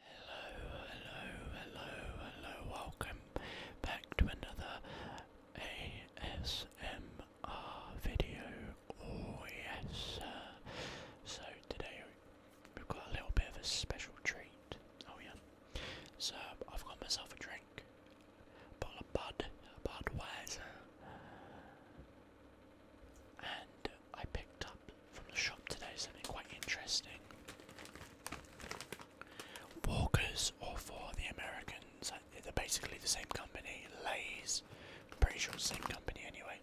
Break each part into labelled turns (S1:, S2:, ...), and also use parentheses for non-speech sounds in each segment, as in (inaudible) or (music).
S1: Hello, hello, hello, hello, welcome back to another ASMR video. Oh, yes. so, today we've got a little bit of a special treat. Oh, yeah. So, I've got myself a drink, bottle of Bud, Budweiser, and I picked up from the shop today, something quite interesting. Walkers, or for the Americans, uh, they're basically the same company, Lay's, I'm pretty sure the same company anyway.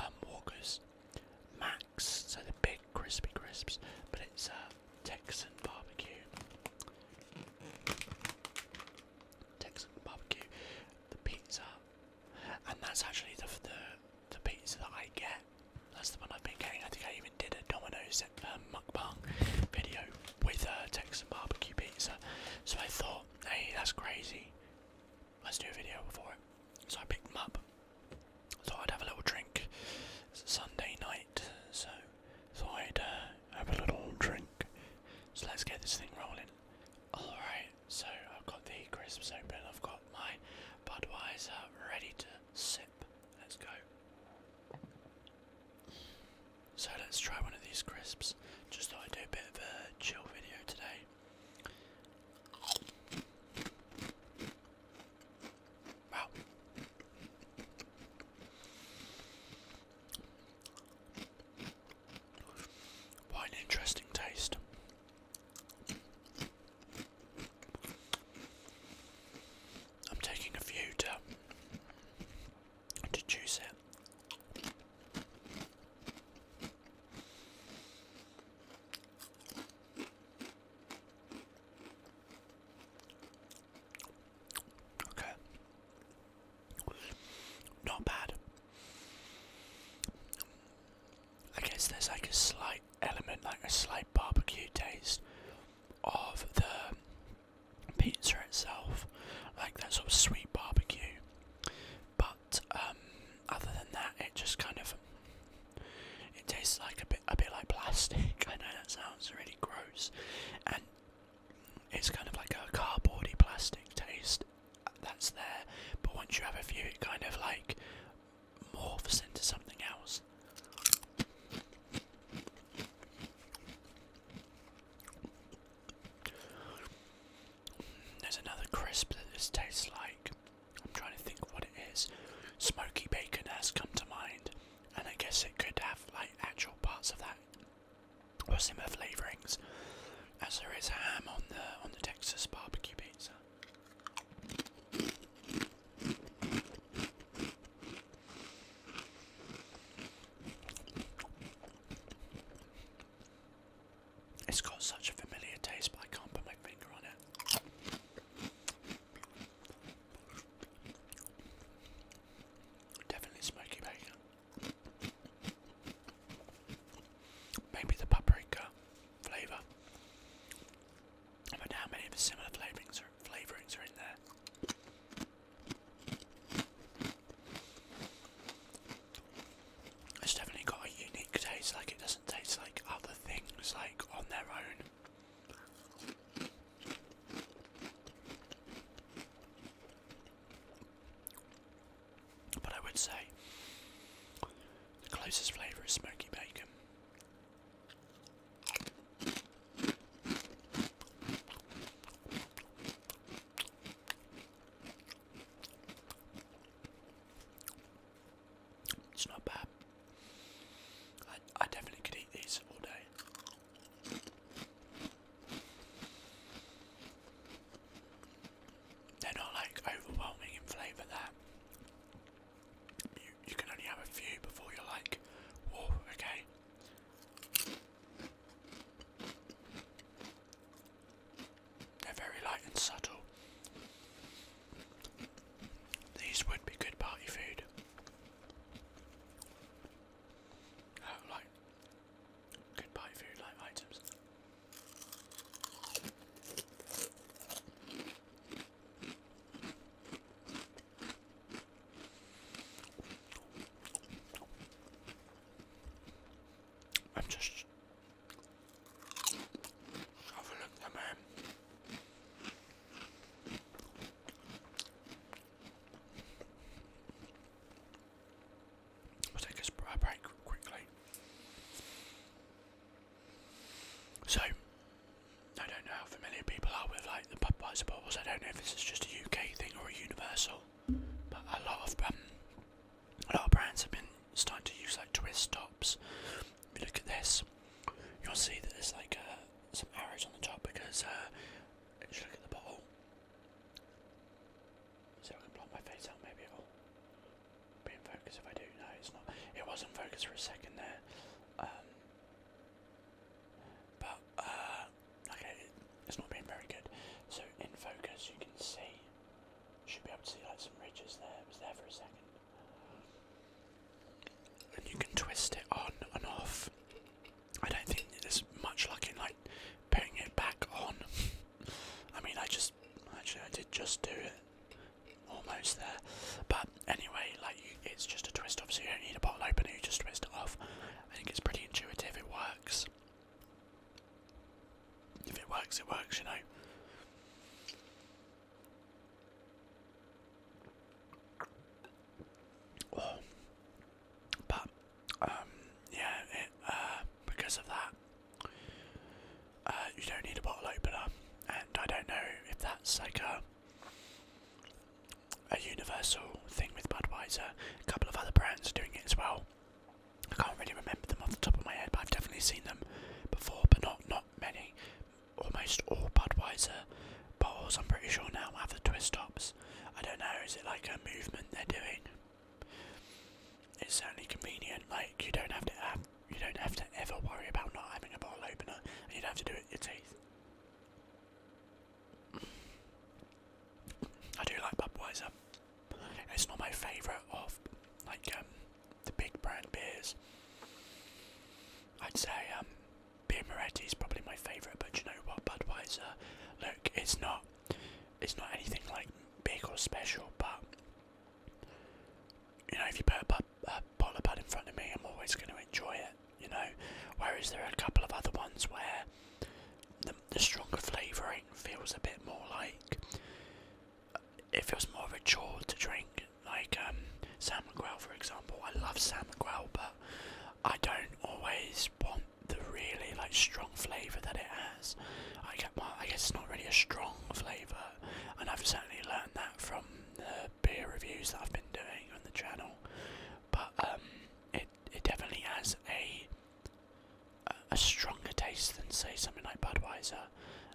S1: Um, Walkers, Max, so the big crispy crisps, but it's a uh, Texan barbecue. Texan barbecue, the pizza and that's actually the the, pizza that I get. That's the one I've been getting. I think I even did a Domino's um, Muckbang video with a Texan barbecue pizza. So I thought, hey, that's crazy. Let's do a video for it. So I picked them up. Thought I'd have a little drink. It's a Sunday night, so thought I'd uh, have a little drink. So let's get this thing rolling. Alright, so I've got the crisps open, I've got my Budweiser ready to sip. Let's go. So let's try one of these crisps. Just thought I'd do a bit of a chill video today. Wow. What an interesting taste. I'm taking a few to to juice it. Okay. Not bad. I guess there's like a slight element, like a slight barbecue taste of the pizza itself, like that sort of sweet barbecue. But um, other than that, it just kind of it tastes like a bit a bit like plastic. (laughs) I know that sounds really gross, and it's kind of like a cardboardy plastic taste uh, that's there. But once you have a few, it kind of like morphs into something else. There's another crisp that this tastes like. I'm trying to think what it is. Smoky bacon has come to mind, and I guess it could have like actual parts of that or similar flavourings, as there is ham on the on the Texas barbecue pizza. It's got such a familiar taste, but I can't put my finger on it. Definitely smoky bacon maybe the paprika flavour. I don't know how many of the similar flavourings are, in there. It's definitely got a unique taste, like it doesn't taste like other things like on their own. But I would say the closest flavour is smoky bacon. It's not bad. I, I definitely could eat these all day. They're not like overwhelming in flavour there. You, can only have a few before you're like, whoa, okay. They're very light and subtle. These would be good party food. Uh, like good party food like items. I'm just shoveling them in. We'll take a break quickly. So, I don't know how familiar people are with like the Budweiser bottles. I don't know if this is just a UK thing or a universal, but um, a lot of brands have been starting to use like twist tops. If you look at this, you'll see that there's like uh, some arrows on the top because uh, just look at the bottle. See, if I can block my face out maybe be in focus if I do. No, it's not. It was in focus for a second there. Um, but, uh, okay, it's not being very good. So, in focus, you can see, should be able to see like some ridges there. It was there for a second. And you can twist it on and off. I don't think there's much luck in like putting it back on. (laughs) I mean, I just actually I did just do it almost there but anyway like it's just a twist off so you don't need a bottle opener you just twist it off I think it's pretty intuitive it works if it works it works you know But um, yeah, uh, because of that, uh, you don't need a bottle opener, and I don't know if that's like a a universal thing with Budweiser. A couple of other brands are doing it as well. I can't really remember them off the top of my head, but I've definitely seen them before, but not not many. Almost all Budweiser bottles, I'm pretty sure now, have the twist tops. I don't know, is it like a movement they're doing? It's certainly convenient. Like you don't have to have, you don't have to ever worry about not having a bottle opener, and you don't have to do it with your teeth. I do like Budweiser. It's not my favourite of like um, the big brand beers. I'd say um, beer Moretti is probably my favourite, but you know what, Budweiser. Look, it's not, it's not anything like big or special, but you know, if you put a, a bowler pad in front of me, I'm always going to enjoy it. You know, whereas there are a couple of other ones where the, the stronger flavouring feels a bit more like it feels more of a chore to drink. Like um, salmon growl, for example. I love salmon growl, but I don't always want the really like strong flavour that it has. I get, well, I guess it's not really a strong flavour, uh, and I've certainly learned that from the beer reviews that I've been doing on the channel. But um, it it definitely has a a stronger taste than say something like Budweiser,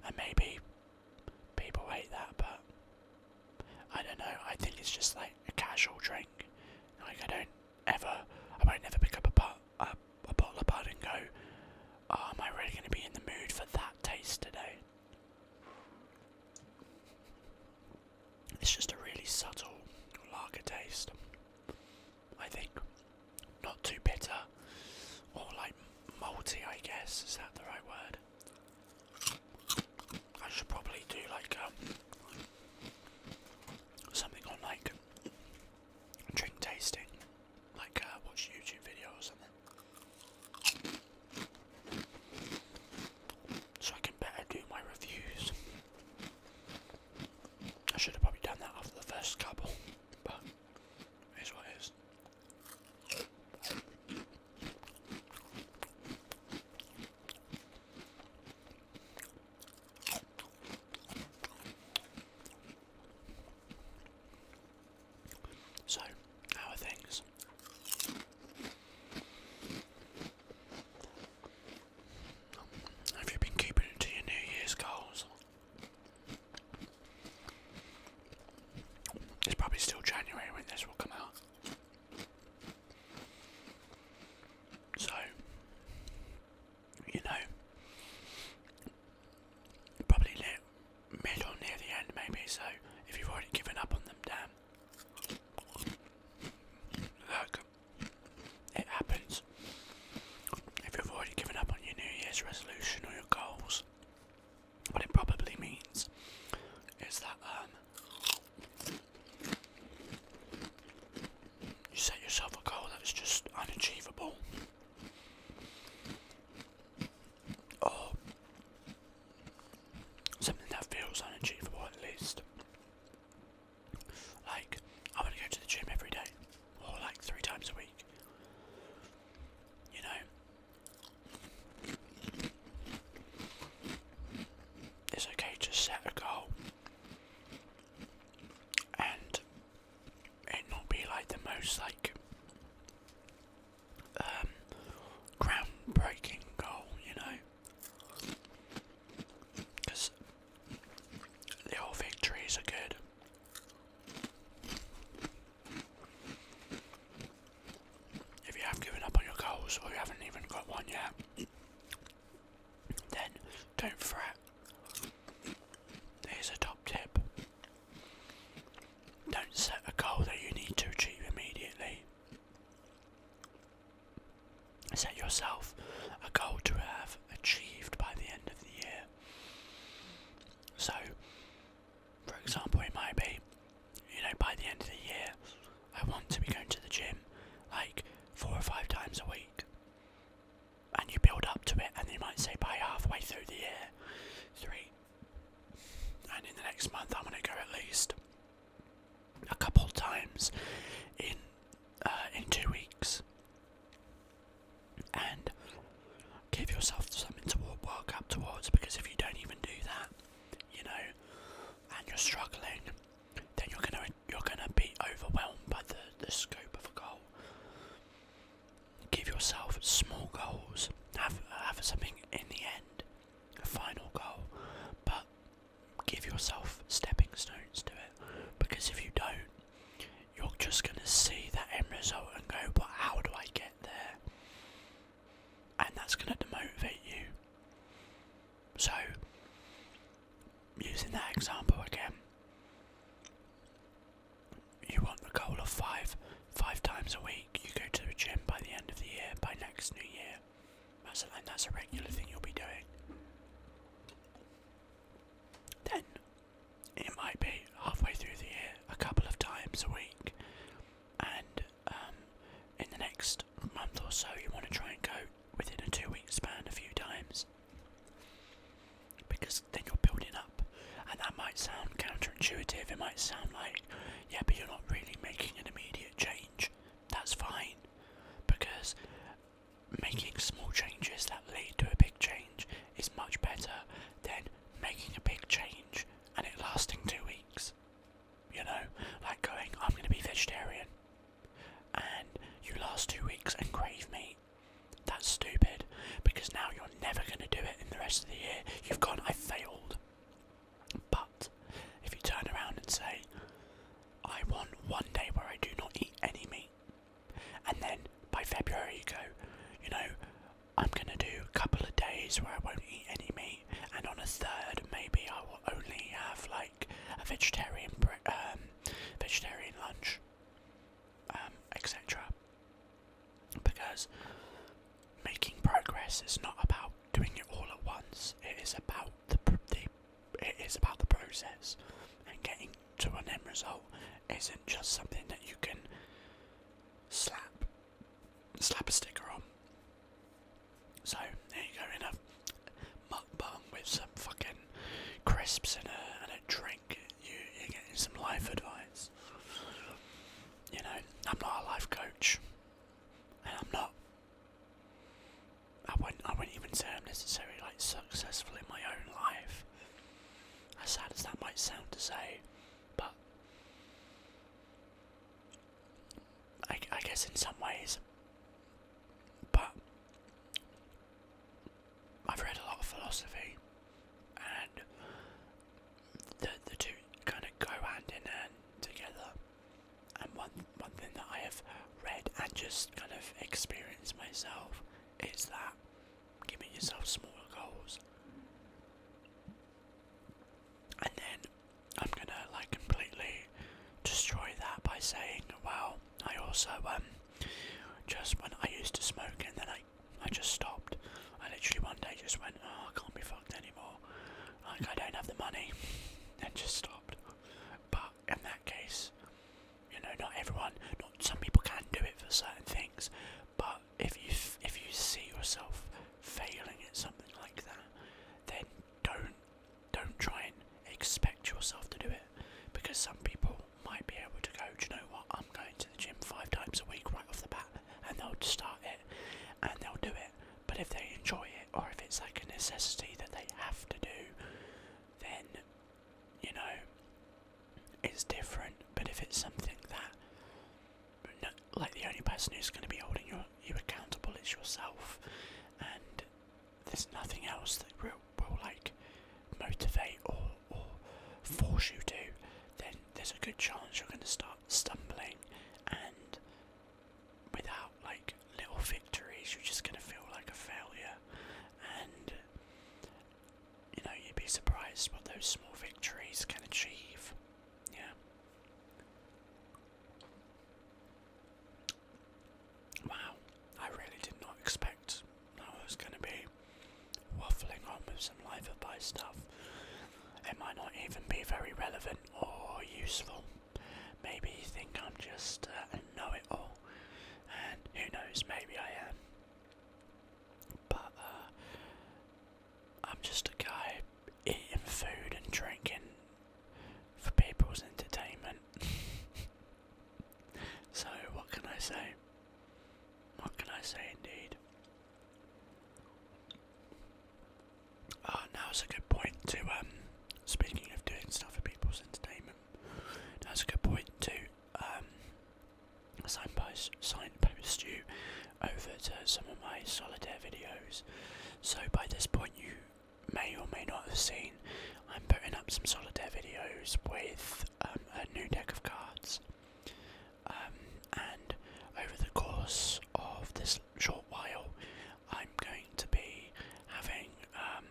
S1: and maybe people hate that, but I don't know. I think it's just like a casual drink. Like I don't ever, I won't never pick up a, pot, a a bottle of bud and go, oh, am I really going to be in the mood for that taste today? It's just a really subtle lager taste, I think. Not too bitter, or like malty, I guess. Is that the right word? I should probably do like um, something on like drink tasting like uh, watch YouTube videos or something. So I can better do my reviews. I should have probably done that after the first couple, but it is what so, how are things? Have you been keeping to your New Year's goals? It's probably still January when this will come out. So, you know, probably near, mid or near the end, maybe. So if you've already given up on them, damn. Look, it happens. If you've already given up on your New Year's resolution or your goals, what it probably means is that um, you set yourself a goal that's just unachievable or oh. something that feels unachievable at least. Like, I want to go to the gym every day, or like three times a week. You know, it's okay to set a goal and it not be like the most like um groundbreaking goal, you know, because the old victories are good. If you have given up on your goals or you haven't even got one yet, then don't fret. Here's a top tip don't set a goal that you need to achieve immediately. Set yourself a goal to have achieved by the end of the year. So, for example, it might be, you know, by the end of the year, I want to be going to the gym like four or five times a week and you build up to it, and you might say by halfway through the year, three, and in the next month, I'm going to go at least a couple times in uh, in two weeks, and give yourself something to work up towards. Because if you don't even do that, you know, and you're struggling, then you're gonna you're gonna be overwhelmed by the the scope of a goal. Give yourself small goals. Have have something in the end, a final goal, but give yourself stepping stones to it. Because if you don't, you're just gonna see that end result and go, "But how do I get there?" And that's gonna demotivate you. So, using that example again, you want the goal of five, five times a week. You go to the gym by the end of the year, by next new year. That's a, regular thing you'll be doing. Then it might be halfway through the year, a couple of times a week, and um, in the next month or so, you want to try and go within a two week span a few times because then you're building up. And that might sound counterintuitive, it might sound like, yeah, but you're not really making an immediate change. That's fine, because making small changes that lead to a big change is much better than making a big change and it lasting two weeks. You know, like going, I'm going to be vegetarian, and you last two weeks and crave meat, that's stupid because now you're never going to do it in the rest of the year. You've gone, I failed. But if you turn around and say, I want one day where I do not eat any meat, and then by February you go, you know, I'm going to do a couple of days where I won't eat any meat, and on a third, maybe I will only have like a vegetarian, um, vegetarian lunch. Um, etc. Because making progress is not about doing it all at once. It is about the, the it is about the process, and getting to an end result isn't just something that you can slap slap a sticker on. So there you go, in a mukbang with some fucking crisps and a drink you, are getting some life advice. You know, I'm not a life coach, and I'm not. I wouldn't, I wouldn't even say I'm necessarily like successful in my own life. As sad as that might sound to say, but I, I guess in some ways. But I've read a lot of philosophy, and the the two kind of go hand in hand together. And one one thing that I have read and just kind of experienced myself is that giving yourself smaller goals. And then I'm gonna like completely destroy that by saying, well, I also um just when I used to smoke and then I I just stopped. I literally one day just went, oh, I can't be fucked anymore. Like I don't have the money, (laughs) and just stopped. But in that case, you know, not everyone, not some people can do it for certain things. But if you if you see yourself failing at something like that, then don't don't try and expect yourself to do it because some people might be able to go, do you know what, I'm going to the gym five times a week right off the bat, and they'll start it, and they'll do it. But if they enjoy it, or if it's like a necessity that they have to do, then, you know, it's different. But if it's something that, no, like the only person who's going to be holding you, you accountable is yourself, and there's nothing else that will, will like motivate or, force you to, then there's a good chance you're going to start stumbling and without like little victories you're just going to feel like a failure and you know you'd be surprised what those small victories can achieve yeah wow i really did not expect I was going to be waffling on with some life advice stuff. It might not even be very relevant or useful. Maybe you think I'm just uh, a know it all, and who knows, maybe I am. But uh, I'm just a guy eating food and drinking for people's entertainment. (laughs) So, what can I say? What can I say indeed? Ah, now now's a good point to, um, speaking of doing stuff for people's entertainment, that's a good point to, um, signpost, signpost you over to some of my solitaire videos. So, by this point, you may or may not have seen, I'm putting up some solitaire videos with um, a new deck of cards. Um, and over the course of this short while, I'm going to be having um,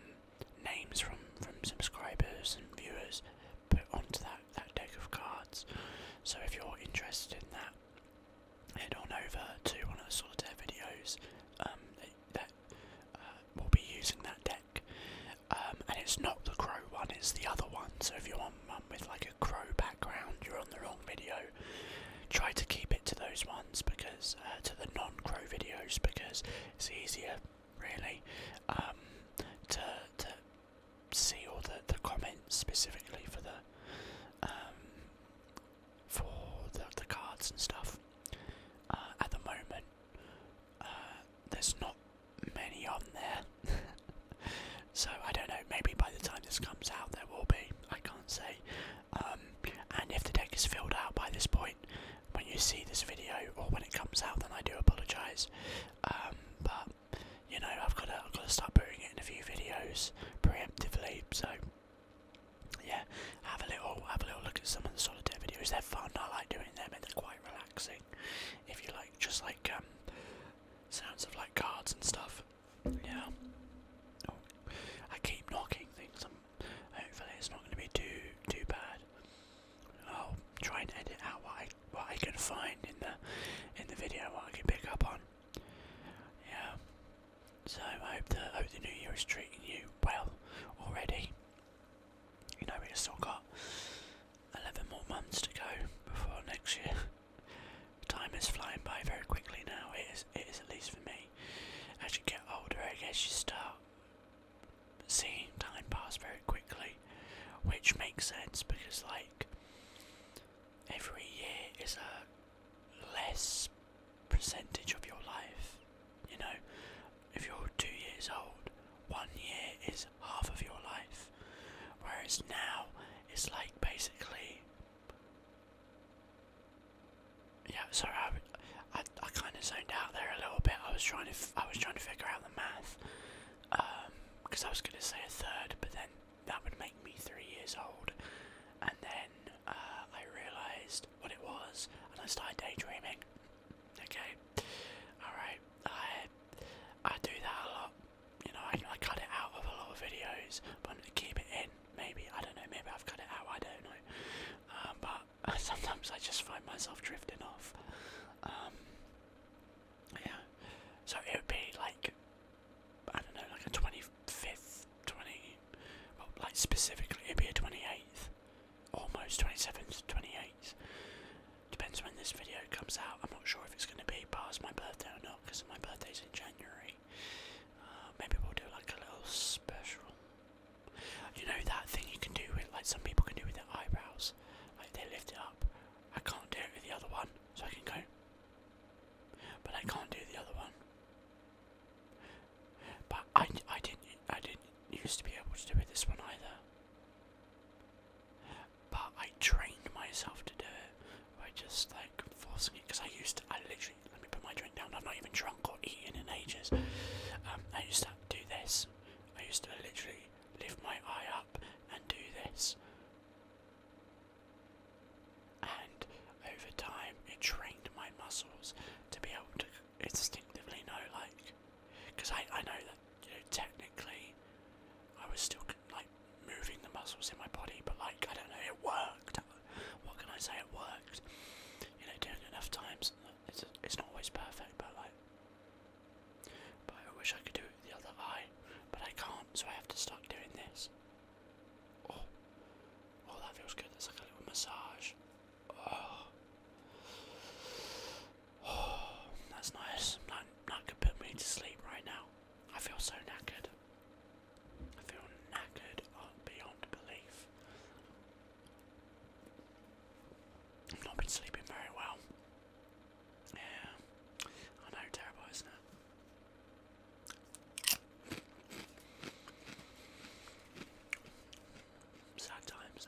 S1: names from, from subscribers and viewers put onto that, that deck of cards. So if you're interested in that, head on over to one of the solitaire videos um, that, that uh, will be using that deck. Um, and it's not the crow one, it's the other one. So if you want one um, with like a crow background, you're on the wrong video. Try to keep it to those ones because uh, to the non-crow videos because it's easier, really, um, to to see all the the comments specifically for the for the, the cards and stuff. Uh, at the moment, uh, there's not many on there. (laughs) so I don't know, maybe by the time this comes out there will be, I can't say. Um, and if the deck is filled out by this point, when you see this video or when it comes out, then I do apologise. Um, but you know, I've got to, I've got to start putting it in a few videos preemptively. So yeah, have a little, have a little look at some of the solitaire videos. They're fun. I like doing them, and they're quite relaxing. If you like, just like um, sounds of like cards and stuff. Yeah. Oh, I keep knocking things. I'm, hopefully, it's not going to be too too bad. I'll try and edit out what I what I can find in the in the video, what I can pick up on. Yeah. So I hope the hope the new year is treating you well already. You know we still got 11 more months to go before next year. (laughs) Time is flying by very quickly now, it is, it is at least for me. As you get older, I guess you start seeing time pass very quickly, which makes sense because, like, every year is a less percentage of your life, you know, if you're two years old, one year is half of your life. Whereas now, it's like basically. Yeah, sorry, I, I, I kind of zoned out there a little bit. I was trying to I was trying to figure out the math, because um, I was going to say a third, but then that would make me three years old, and then uh, I realised what it was, and I started daydreaming. Okay, all right, I I do that a lot. You know, I, cut it out of a lot of videos, but to keep it in. Maybe I don't know. Maybe I've cut it out. I don't know. Um, but (laughs) sometimes I just find myself drifting off. Um, yeah. So it would be like I don't know, like a twenty fifth, twenty, well, like specifically it'd be a twenty eighth almost 27th to 28th. Depends when this video comes out. I'm not sure if it's going to be past my birthday or not because my birthday's in January. Uh, maybe we'll do like a little special. You know that thing you can do with, like some people can do with their eyebrows, like they lift it up. I can't do it with the other one, so I can go. But I can't do the other one. But I, I didn't I didn't used to be able to do it this one either. But I trained myself to do it by just like forcing it because I used to, I literally, let me put my drink down, i am not even drunk or eating in ages. Um, I used to do this. I used to literally lift my eye up and do this. And over time, it trained my muscles to be able to instinctively know, like, because I, I know that you know technically I was still like moving the muscles in my body, but like I don't know, it worked. What can I say? It worked. You know, doing enough times, it's it's not always perfect, but like, but I wish I could do it the other eye, but I can't, so I have to start doing this. Oh, oh, that feels good. That's like a little massage. Oh. (sighs) that's nice. That, that could put me to sleep right now. I feel so knackered. I feel knackered uh, beyond belief. I've not been sleeping very well. Yeah, I know, terrible, isn't it? Sad times.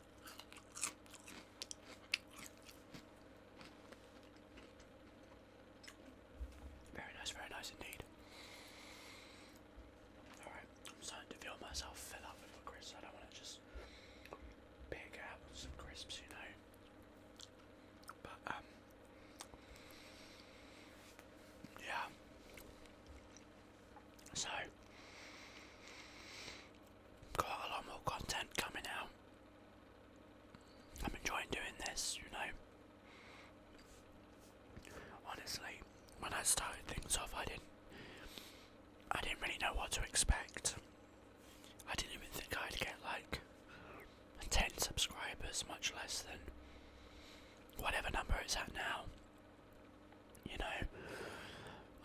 S1: Very nice, very nice indeed. Alright, I'm starting to feel myself fill up with a I don't want to just pick out some crisps, you But, um, yeah. So, got a lot more content coming out I'm enjoying doing this, you know. Honestly, when I started things off, I didn't, I didn't really know what to expect. I didn't even think I'd get like 10 subscribers, much less than whatever number it's at now. You know,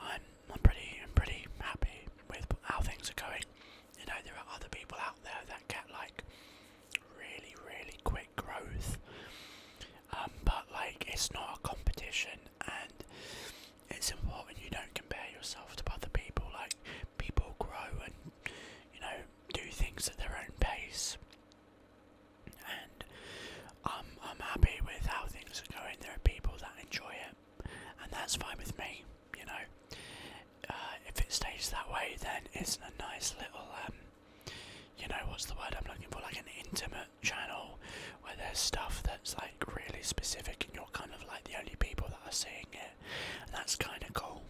S1: I'm I'm pretty, I'm pretty happy with how things are going. You know, there are other people out there that get like really, really quick growth, um, but like it's not a competition, and it's important you don't compare yourself to other people. Like people grow and you know do things at their own pace, and um, I'm happy with how things are going. There are people that enjoy it and that's fine with me. You know, uh, if it stays that way, then it's a nice little, um, you know, what's the word I'm looking for? Like an intimate channel where there's stuff that's like really specific, and you're kind of like the only people that are seeing it. And that's kind of cool.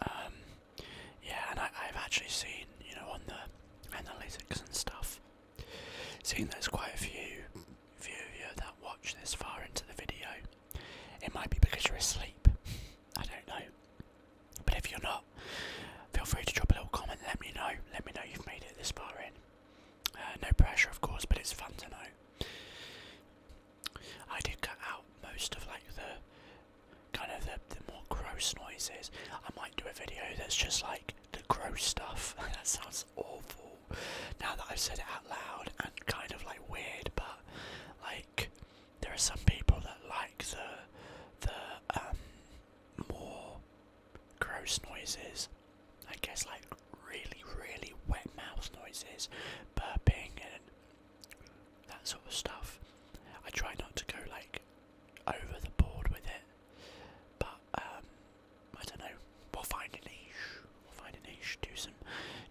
S1: Um, yeah, and I've actually seen, you know, on the analytics and stuff, seen there's quite a few few of you that watch this far into the video, it might be because you're asleep. I don't know. But if you're not, feel free to drop a little comment. Let me know. Let me know you've made it this far in. Uh, no pressure, of course, but it's fun to know. I did cut out most of like the kind of the, the more gross noises. I might do a video that's just like the gross stuff. (laughs) that sounds that's awful. Now that I've said it out loud and kind of like weird, but like there are some people that like the the um more gross noises. I guess like really, really wet mouth noises, burping and that sort of stuff. I try not to go like over the board with it, but um, I don't know. We'll find a niche. We'll find a niche. Do some,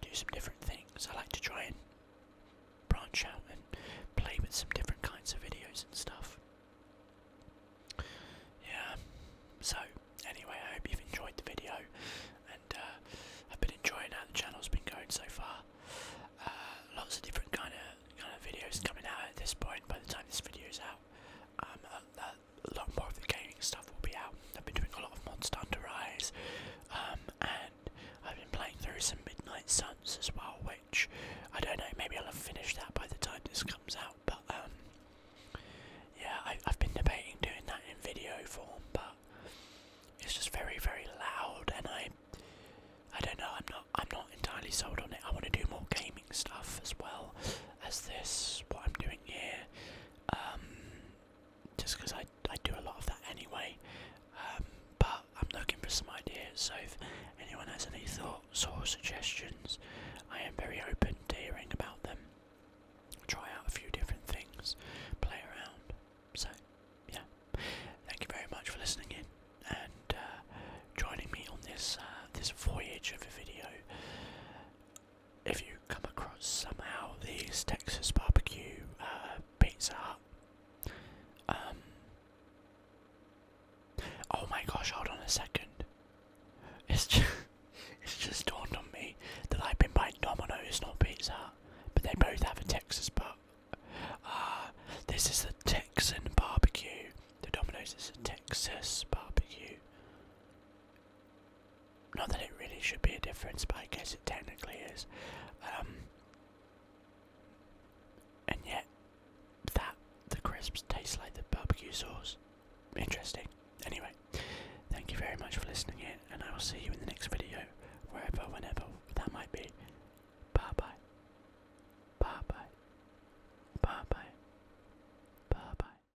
S1: do some different things. I like to try and branch out and play with some different kinds of videos and stuff. Yeah. So anyway, I hope you've enjoyed the video, and uh, I've been enjoying how the channel's been going so far. Uh, lots of different kind of kind of videos coming out at this point. By the time this video is out, um, a lot more of the gaming stuff will be out. I've been doing a lot of Monster Hunter Rise, um, and I've been playing through some Midnight Suns as well, which I don't know, maybe I'll have finished that by the time this comes out, but um, yeah, I've been debating doing that in video form, but it's just very, very loud, and I, I don't know, I'm not, I'm not entirely sold on it. I want to do more gaming stuff as well as this, what I'm doing here. Um, just because I, I do a lot of that anyway. Um, but I'm looking for some ideas, so if anyone has any thoughts or suggestions, I am very open to hearing about them. Try out a few different things, play around. So, yeah. Thank you very much for listening in and uh, joining me on this uh, this voyage of a video if you come across somehow these Texas barbecue uh, Pizza Um, oh my gosh! Hold on a second. It's just, (laughs) it's just dawned on me that I've been buying Domino's, not Pizza but they both have a Texas but. Ah, this is the Texan barbecue. The Domino's is a Texas barbecue. Not that it really should be a difference, but I guess it technically is. Um, and yet, that the crisps taste like the barbecue sauce. Interesting. Anyway, thank you very much for listening in, and I will see you in the next video, wherever, whenever that might be. Bye bye. Bye bye. Bye bye. Bye bye.